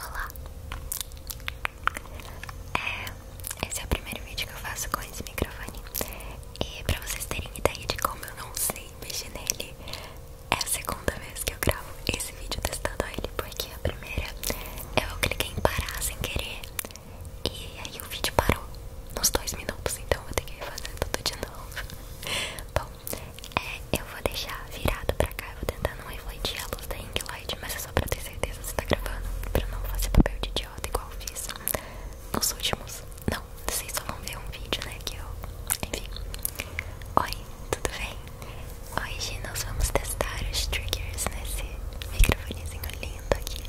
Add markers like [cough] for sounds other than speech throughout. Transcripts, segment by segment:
Olá! É, esse é o primeiro vídeo que eu faço com esse microfone E pra vocês terem ideia de como eu não sei mexer nele É a segunda vez que eu gravo esse vídeo testando ele Porque a primeira eu cliquei em parar sem querer E aí o vídeo parou nos dois minutos Então eu vou ter que fazer tudo de novo [laughs] Bom, é, eu vou deixar virado pra cá, eu vou tentar não refletir a luz da ring mas é só pra ter certeza se tá gravando, pra não fazer papel de idiota igual eu fiz nos últimos. Não, vocês só vão ver um vídeo, né? Que eu. Enfim. Oi, tudo bem? Hoje nós vamos testar os triggers nesse microfonezinho lindo aqui.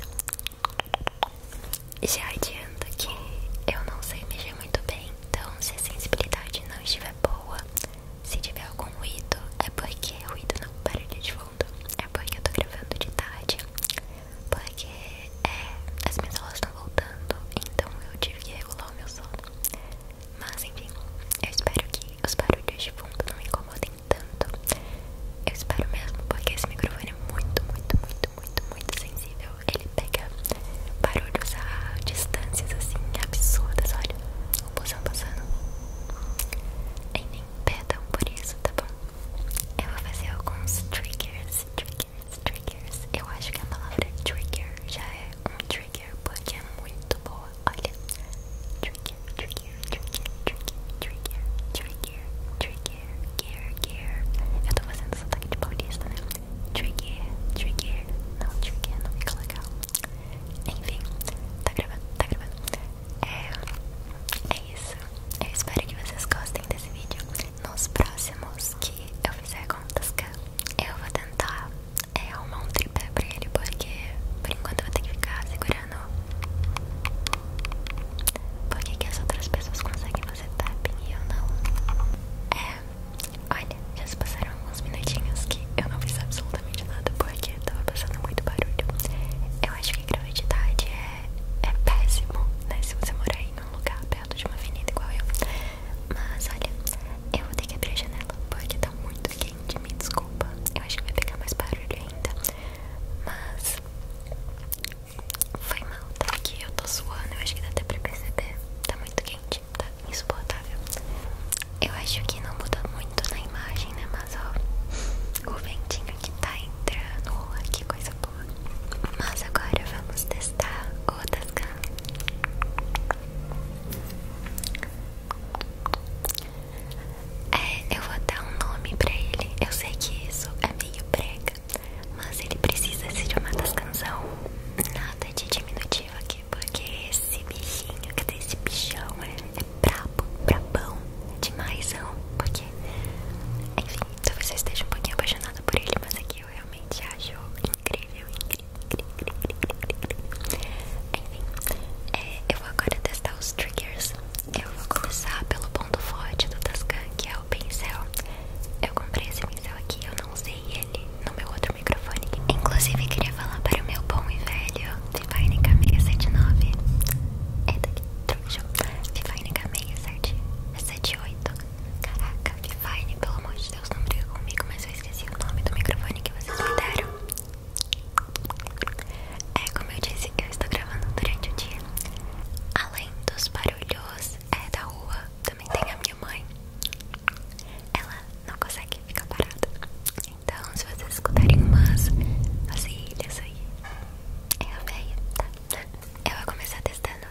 Já adianto que eu não sei mexer muito bem, então se a sensibilidade não estiver boa. Se tiver algum ruído, é porque ruído não barulho de fundo. É porque eu tô gravando de tarde. Porque é, as minhas aulas estão voltando, então eu tive que regular o meu sono. Mas enfim, eu espero que os barulhos de fundo não me incomodem tanto. Eu espero mesmo, porque esse microfone é muito, muito, muito, muito, muito sensível. Ele pega barulhos a distâncias assim absurdas, olha o busão tá passando. Enfim, tá bom? Eu vou fazer alguns triggers, triggers, triggers. Eu acho que a palavra trigger já é um trigger porque é muito boa. Olha, trigger, trigger, trigger, trigger, trigger, trigger, trigger, trigger. Eu tô fazendo sotaque de paulista, né? Trigger, trigger. Não, trigger não fica legal. Enfim, tá gravando, tá gravando. É, é isso. Eu espero que vocês gostem desse vídeo. Nos próximos que eu fizer contas o eu vou tentar é, arrumar um tripé pra ele, porque por enquanto eu vou ter que ficar segurando. porque que, as outras pessoas conseguem fazer tapping e eu não? É, Olha, já se passaram alguns minutinhos que eu não fiz absolutamente nada porque tava passando muito barulho. Eu acho que gravidade é, é péssimo, né? Se você morar em um lugar perto de uma avenida igual eu. Mas olha, eu vou ter que abrir a janela porque tá muito quente, me desculpa. Eu acho que vai pegar mais barulho ainda. Mas foi mal, tá? Que eu tô suando, eu acho que dá até pra perceber. Tá muito quente tá insuportável. Eu acho que não muda muito na imagem, né? Mas ó, o ventinho que tá entrando, olha que coisa boa. Mas agora vamos testar o Tascan. É, eu vou dar um nome pra ele. Eu sei que isso é meio prega, mas ele precisa se chamar Tascanzão. Nada de diminutivo aqui. Porque esse bichinho, que tem esse bichão, é, é brabo, brabão, demaisão. Porque, enfim, talvez eu esteja um pouquinho apaixonada por ele, mas aqui eu realmente acho incrível, incrível, incrível, incrível, incrível. Enfim, é, eu vou agora testar os triggers. Eu vou começar pelo ponto forte do Tascam, que é o pincel. Eu comprei esse pincel aqui, eu não sei ele no meu outro microfone. Inclusive, queria falar para o meu bom e velho Vivainec 679. É daqui, trouxa. Vivainec 678. Caraca, Vivaine, pelo amor de Deus, não briga comigo, mas eu esqueci o nome do microfone que vocês me deram. É como eu disse, eu estou gravando durante o dia. Além dos barulhos é, da rua, também tem a mãe, ela não consegue ficar parada. Então, se vocês escutarem umas vasilhas aí, é a velha, tá? Eu vou começar testando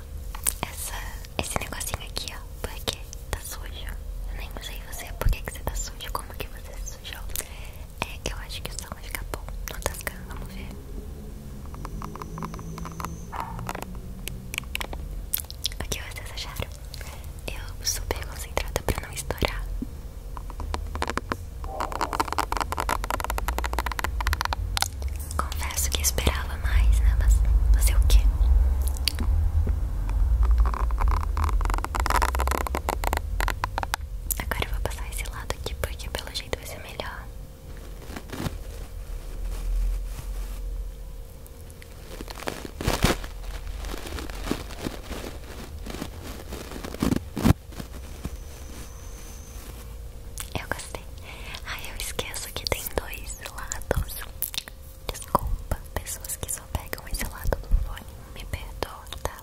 essa, esse negocinho aqui, ó, porque tá sujo. Eu nem sei você, porque que, você tá sujo, como que você se sujou. É, que eu acho que o som vai ficar bom, não tá ficando, vamos ver. O que vocês acharam? Eu super concentrada pra não estourar. Confesso que esperava mais, né? Mas fazer o quê? Agora eu vou passar esse lado aqui porque pelo jeito vai ser melhor. Eu gostei. Ai, eu esqueço que tem dois lados. Desculpa, pessoas que só pegam esse lado do fone. Me perdoa, tá?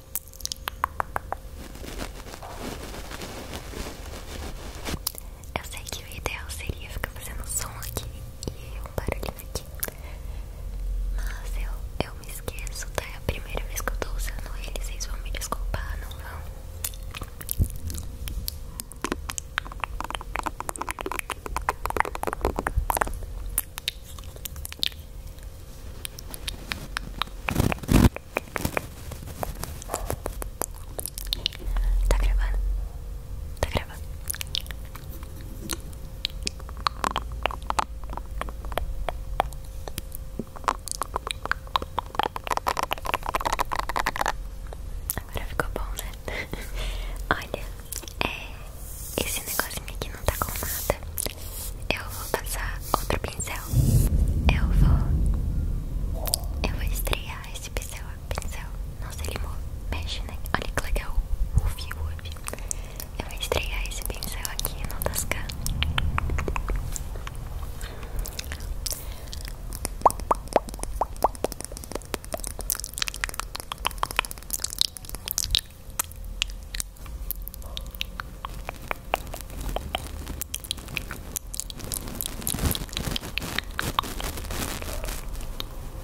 Eu sei que o ideal seria ficar fazendo som aqui e um barulhinho aqui. Mas eu, eu me esqueço, tá? É a primeira vez que eu tô usando ele, vocês vão me desculpar, não vão? Tá gravando? Tá gravando? Agora ficou bom, né? [laughs] Olha, é, esse negocinho aqui não tá com nada. Eu vou passar outro pincel. Eu vou. Eu vou estrear esse pincel agora pincel. Nossa, ele mexe, né? Olha que legal o fio hoje. Eu vou estrear esse pincel aqui no Tascam.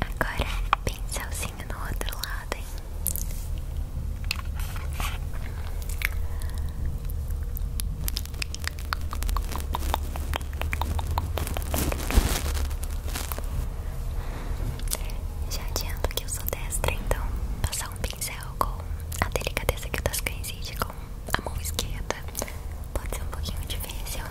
Agora, pincelzinho no outro lado, hein? Já adianto que eu sou destra, então passar um pincel com a delicadeza que eu das cães e com a mão esquerda pode ser um pouquinho difícil.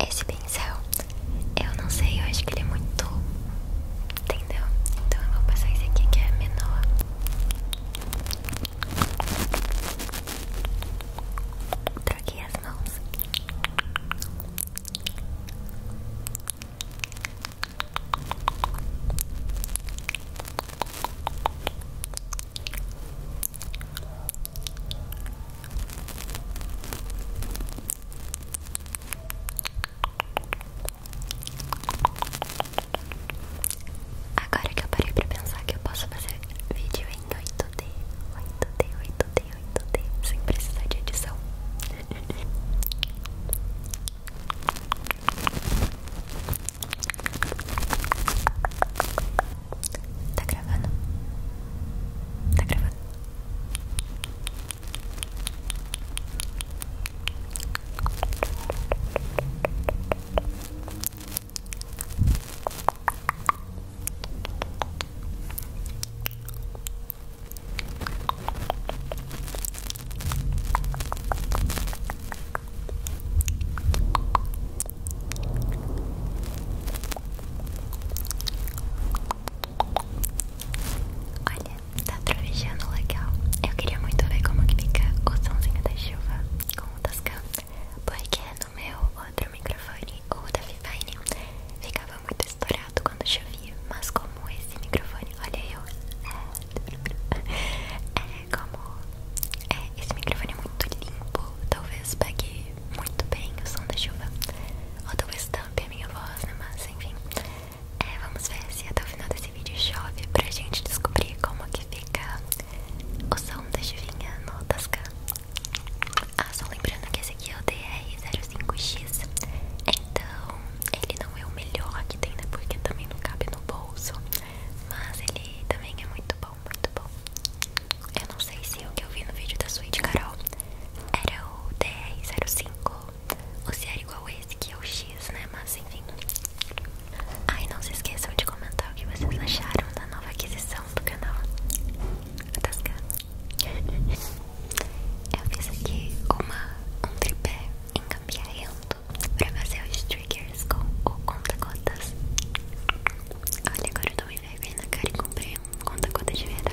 Esse pincel, eu não sei, eu acho que ele é muito. Entendeu? Então eu vou passar esse aqui que é menor. Troquei as mãos. Agora que eu parei pra pensar que eu posso fazer vídeo em 8D, 8D, 8D, 8D, sem precisar de edição. [laughs] Tá gravando? Tá gravando? Olha, tá trovejando legal. Eu queria muito ver como fica o somzinho da chuva com o Tascam, porque é no meu outro microfone, o da Vivine, ficava muito estourado quando chovia. Mas como esse microfone, olha eu, é, é como é, esse microfone é muito limpo, talvez pegue muito bem o som da chuva, ou talvez tampe a minha voz, né? Mas enfim, é, vamos ver se até o final desse esse vídeo chove pra gente descobrir como que fica o som da chuvinha no Tascam. Ah, só lembrando que esse aqui é o DR05X, então ele não é o melhor que tem, né? Porque também não cabe no bolso, mas ele também é muito bom, muito bom. Eu não sei se o que eu vi no vídeo da Suíte Carol era o DR05, ou se era igual esse que é o X. Né? Mas enfim. Ai, não se esqueçam de comentar o que vocês acharam da nova aquisição do canal. [laughs] Eu fiz aqui uma, um tripé encambiarento pra fazer os triggers com o conta-gotas. Olha, agora eu tô me vergonha na cara e comprei um conta-gota de verdade.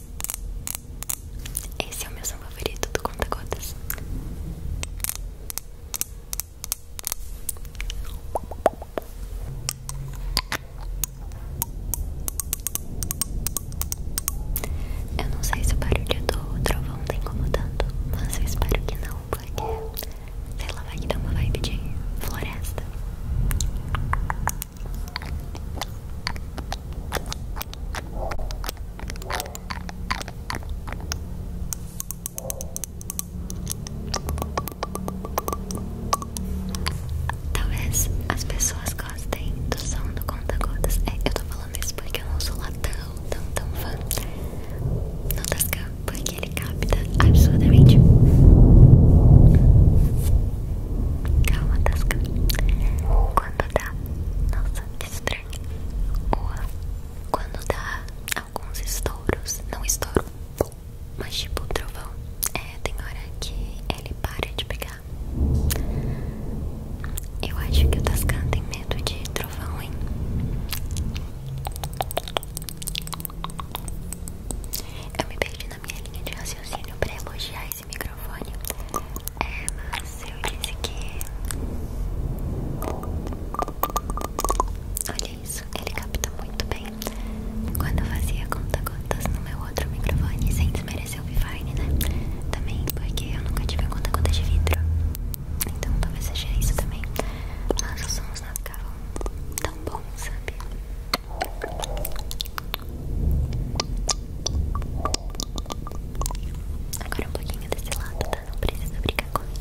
Esse é o meu som favorito do Conta Gotas. Eu não sei se o barulho do trovão tá incomodando, mas eu espero que não, porque sei lá, vai que uma vibe de floresta. Talvez as pessoas gostem do som do conta-gotas. É, eu tô falando isso porque eu não sou lá tão, tão, tão fã. Não tá das porque ele capta absurdamente. Calma, Tasca. Tá quando dá. Nossa, que estranho. Ua. Quando dá alguns estouros. Não estouro. Mas tipo, trovão. É, tem hora que ele para de pegar. Eu acho que o Tascan tem medo de trovão, hein? Eu me perdi na minha linha de raciocínio pra elogiar esse microfone. É, mas eu disse que. Olha isso, ele capta muito bem. Quando eu fazia conta-gotas no meu outro microfone, sem desmerecer o Vivine, né? Também, porque eu nunca tive conta-gotas de vidro. Então talvez seja isso também. Mas os sons não ficavam tão bons, sabe? Agora um pouquinho desse lado, tá? Não precisa brigar comigo.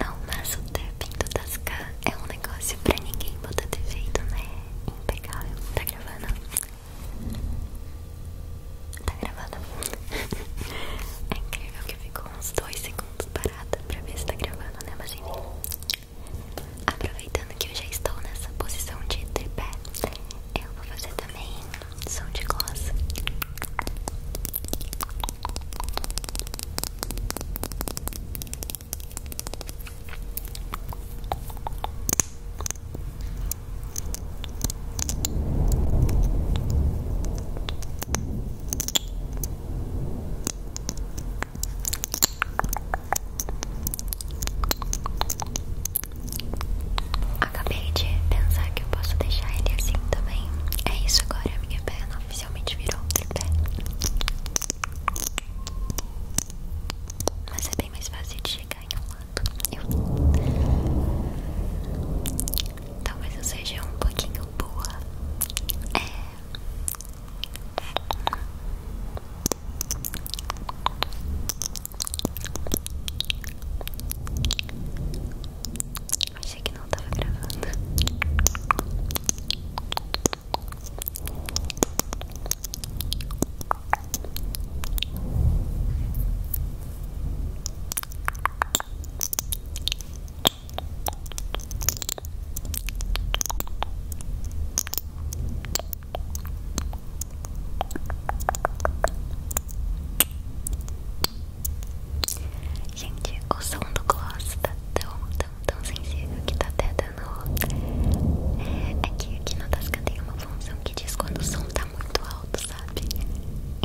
Não, mas o ter vindo das cá é um negócio pra ninguém botar defeito, né? Impecável, tá gravando? Tá gravando? é incrível que eu fico uns dois segundos parada pra ver se tá gravando, né? Mas enfim. Aproveitando que eu já estou nessa posição de tripé, eu vou fazer também som de gloss. Acabei de pensar que eu posso deixar ele assim também. É isso agora, a minha perna oficialmente virou outro pé. Mas é bem mais fácil de chegar acanhonado. Talvez eu seja um pouquinho boa. É. Achei que não tava gravando. Gente, o som do gloss tá tão, tão, tão sensível que tá até dando. É, que aqui na tasca tem uma função que diz quando o som tá Tá muito alto, sabe?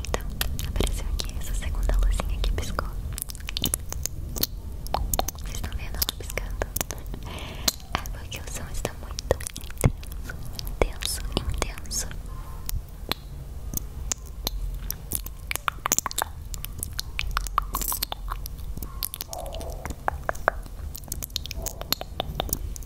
Então, apareceu aqui essa segunda luzinha que piscou. Vocês estão vendo ela piscando? É porque o som está muito intenso, intenso, intenso. Agora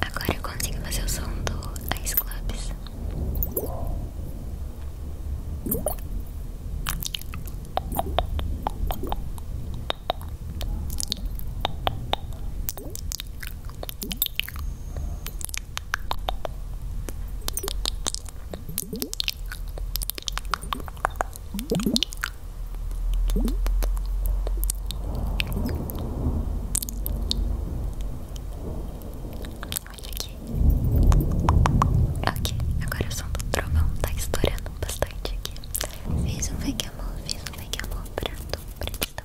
Agora eu consigo fazer o som do Ice Clubs. Olha aqui. Ok, agora o som do trovão tá estourando bastante aqui. Fiz um fake amor, fiz um fake amor pra tu, pra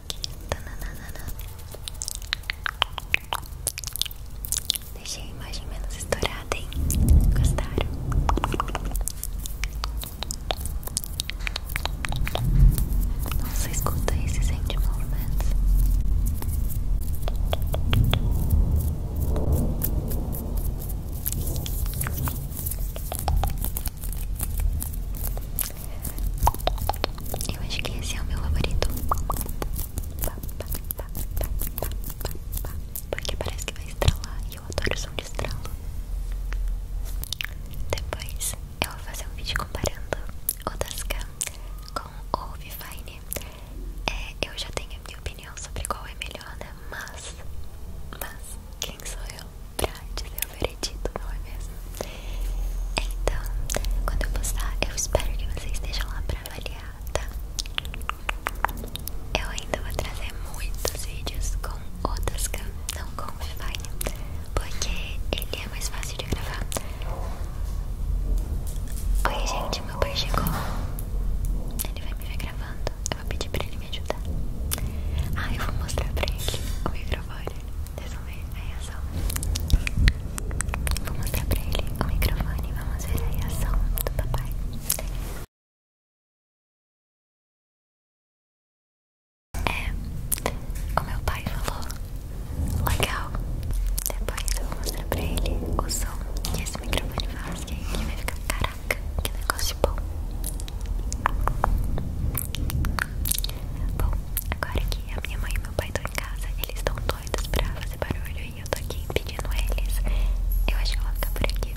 Deixei a imagem menos estourada, hein? Gostaram? Nossa, escuta aí, se sente movimentos. Eu acho que esse é o meu favorito. Porque parece que vai estralar eu adoro som de estralo. Depois eu vou fazer um vídeo comparando o Tascam com o Vifine. É, eu já tenho a minha opinião sobre qual é melhor, né? Mas, mas, quem sou eu pra dizer o veredito, não é mesmo? Então, quando eu postar, eu espero que vocês estejam lá pra avaliar, tá? Eu ainda vou trazer muitos vídeos com outras Tascam, não com o Wi-Fi, porque ele é mais fácil de gravar. Oi, gente, meu pai chegou. Ele vai me ver gravando. Eu vou pedir pra ele me ajudar. Ah, eu vou mostrar pra ele o microfone. Vocês vão ver a reação. Vou mostrar pra ele o microfone. Vamos ver a reação do papai. É, o meu pai falou, legal. Depois eu vou mostrar pra ele o som que esse microfone faz, que ele vai ficar, caraca, que negócio bom. Bom, agora que a minha mãe e meu pai estão em casa, eles estão doidos pra fazer barulho e eu tô aqui impedindo eles. Eu acho que eu vou ficar por aqui,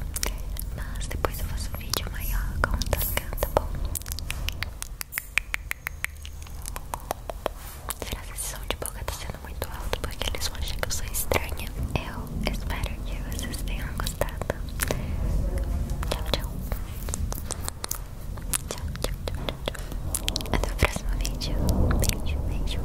mas depois eu faço vídeo maior com o tá bom? Será que esse som de boca tá sendo muito alto? Porque eles vão achar que eu sou estranha. Eu espero que vocês tenham gostado. Tchau, tchau. Tchau, tchau, tchau, tchau. Até o próximo vídeo. Beijo, beijo.